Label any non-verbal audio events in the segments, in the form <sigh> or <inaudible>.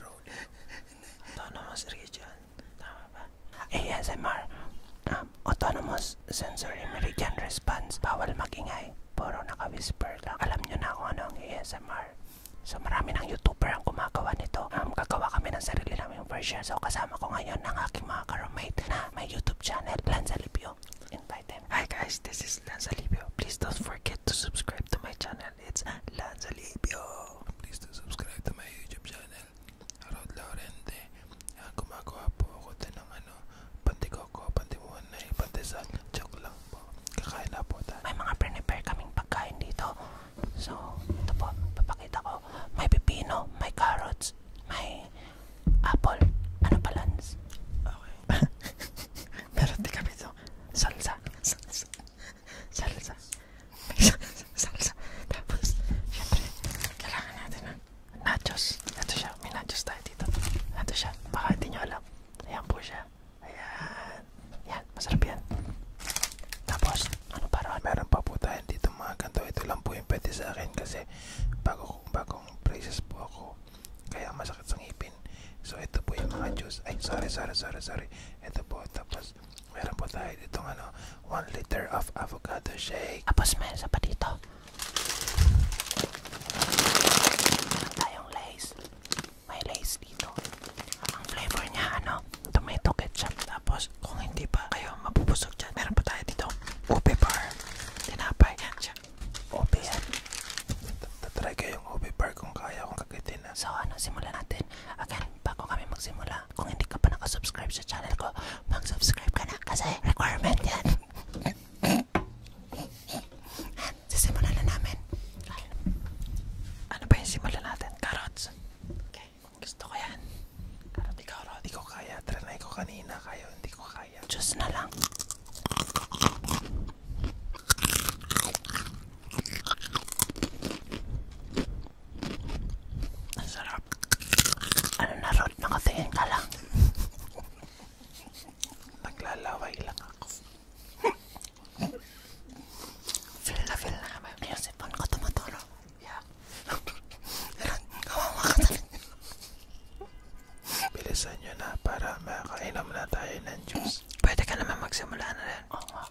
road. Autonomous region. Tama eh, ba? ASMR. Um, autonomous sensory meridian response. Bawal magingay. Puro naka-whisper lang. Alam nyo na kung ano ang ASMR. So marami ng YouTuber ang gumagawa nito. Um, gagawa kami ng sarili namin version. So kasama ko ngayon ang aking mga karomate na may YouTube channel, Lanza Libyo. Invite them. Hi guys, this is Lanza Libyo. Please don't forget to subscribe to my channel. it's Lanzalibio. Please do subscribe to my YouTube channel, Rod Laurente. Gumagawa ah, po ako din ng ano, pantikoko, pantimunay, pantisal, joke lang po. Kakain na po tayo. May mga prepare kaming pagkain dito. So, ito po, ko. May pipino, may carrots, may apple. Ano pa, Lance? Okay. <laughs> Meron Salsa. salsa. salsa. Tapos, <laughs> syempre, kailangan natin ng nachos. Ito siya. May nachos tayo dito. Ito siya. Baka hindi nyo alam. Ayan po siya. Ayan. Ayan. Masarap yan. Tapos, ano para? Meron pa po tayo dito mga ganito. Ito lang po yung pwede sa akin kasi bago, bagong braces po ako. Kaya masakit sa ngipin natin. So ito po yung mga juice. Ay, sorry, sorry, sorry, sorry. Ito po. Tapos meron po tayo ditong ano, 1 liter of avocado shake. Tapos meron sa pa dito. Meron tayong lace. May lace dito. Ang flavor niya, ano, tomato ketchup. Tapos kung hindi pa kayo mabubusog dyan, meron pa tayo dito. Ube bar. Tinapay. Yan siya. Ube yan. Tatry ko yung ube bar kung kaya kung kakiti natin. So ano, simulan natin. Again, bago kami magsimula, kung hindi ka pa nakasubscribe sa channel ko, mag-subscribe ka na kasi requirement yan. Sisimulan <laughs> na namin. Right. Ano ba yung simulan natin? Carrots. Okay. Gusto ko yan. Carrot, ikaw, Rod. Hindi ko kaya. Trinay ko kanina. Kayo, hindi ko kaya. Diyos na lang. Ang sarap. Ano na, Rod? Nakatingin ka lang. Naglalaway lang ako. feel na feel na naman yung sipon ko tumaturo. Yeah. Rod, kawawa ka talaga. Bilisan nyo na para makakainom na tayo ng juice. Pwede ka naman magsimula na rin. Oo nga.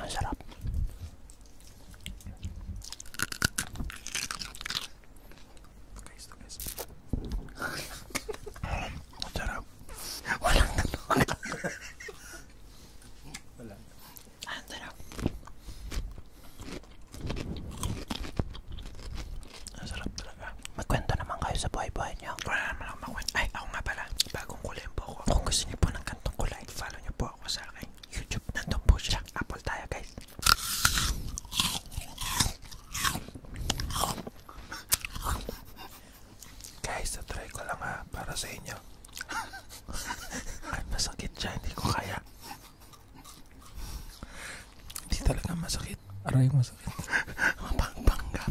Ang sarap. Guys, guys. Ang sarap. Walang nanon. Wala. Ang sarap. Ang sarap talaga. Magkwento naman kayo sa buhay-buhay nyo. Wala naman ako makwento. Ay, ako nga pala. Bagong kulay po ako. Kung gusto niyo po ng kantong kulay, follow niyo po ako sa akin. YouTube. Nandun po siya. Apple tayo guys. Guys, na-try ko lang ha. Para sa inyo. Ay, masakit siya. Hindi ko kaya. Hindi talaga masakit. Aray, masakit. Mapangpanggap.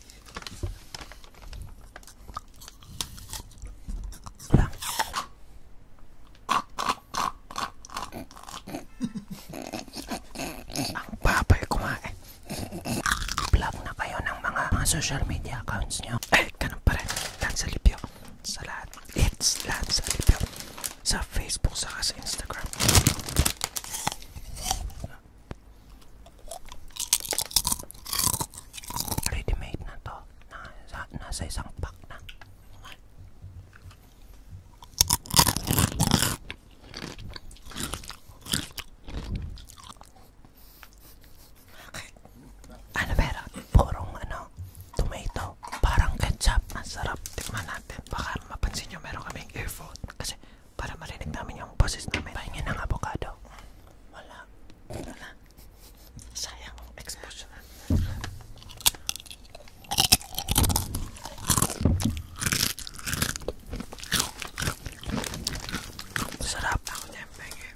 Ang babay kumain. Vlog na kayo ng mga, mga social media accounts nyo. Eh, ganun pa rin. Lahat sa libyo. Sa lahat. It's lahat sa libyo. Sa Facebook, saka sa Instagram. Ready made na to. Nasa, nasa isang pack na. Bakit? Ano pero? Purong ano? Tomato. Parang ketchup. Ang sarap. Tikman natin. Baka mapansin nyo meron kaming earphone. Kasi para marinig namin yung boses namin. Pahingin ng avocado. Wala. Wala. Sayang exposure. Sarap ako niya, pahingin.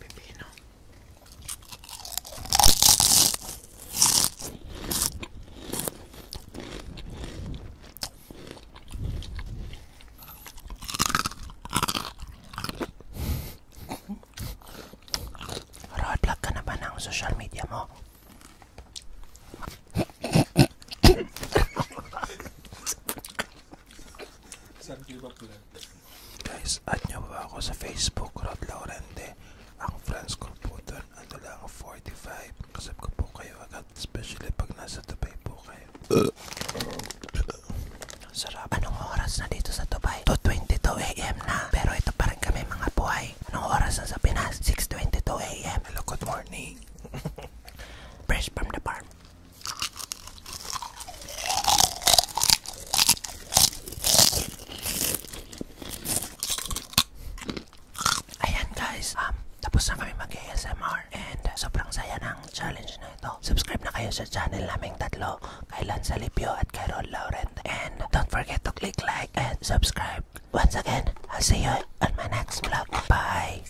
pepino. Roadblock ka na ba ng social media mo? Saan kayo ba Guys, add nyo ba ako sa Facebook, Rod Laurente. Ang friends ko po doon, ano lang, 45. Kasab ko po kayo agad, especially pag nasa Dubai po kayo. Sarap. Anong oras na dito sa Dubai? 2.22 a.m. na. Pero ito pa rin kami mga buhay. Anong oras na sa Pinas? 6.22 a.m. Hello, good morning. <laughs> Fresh from the farm. Ayan guys, um, tapos na kami mag-ASMR and sobrang saya ng challenge na ito. Subscribe na kayo sa channel naming tatlo, kay Lance Alipio at kay Ron Laurent. And don't forget to click like and subscribe. Once again, I'll see you on my next vlog. Bye!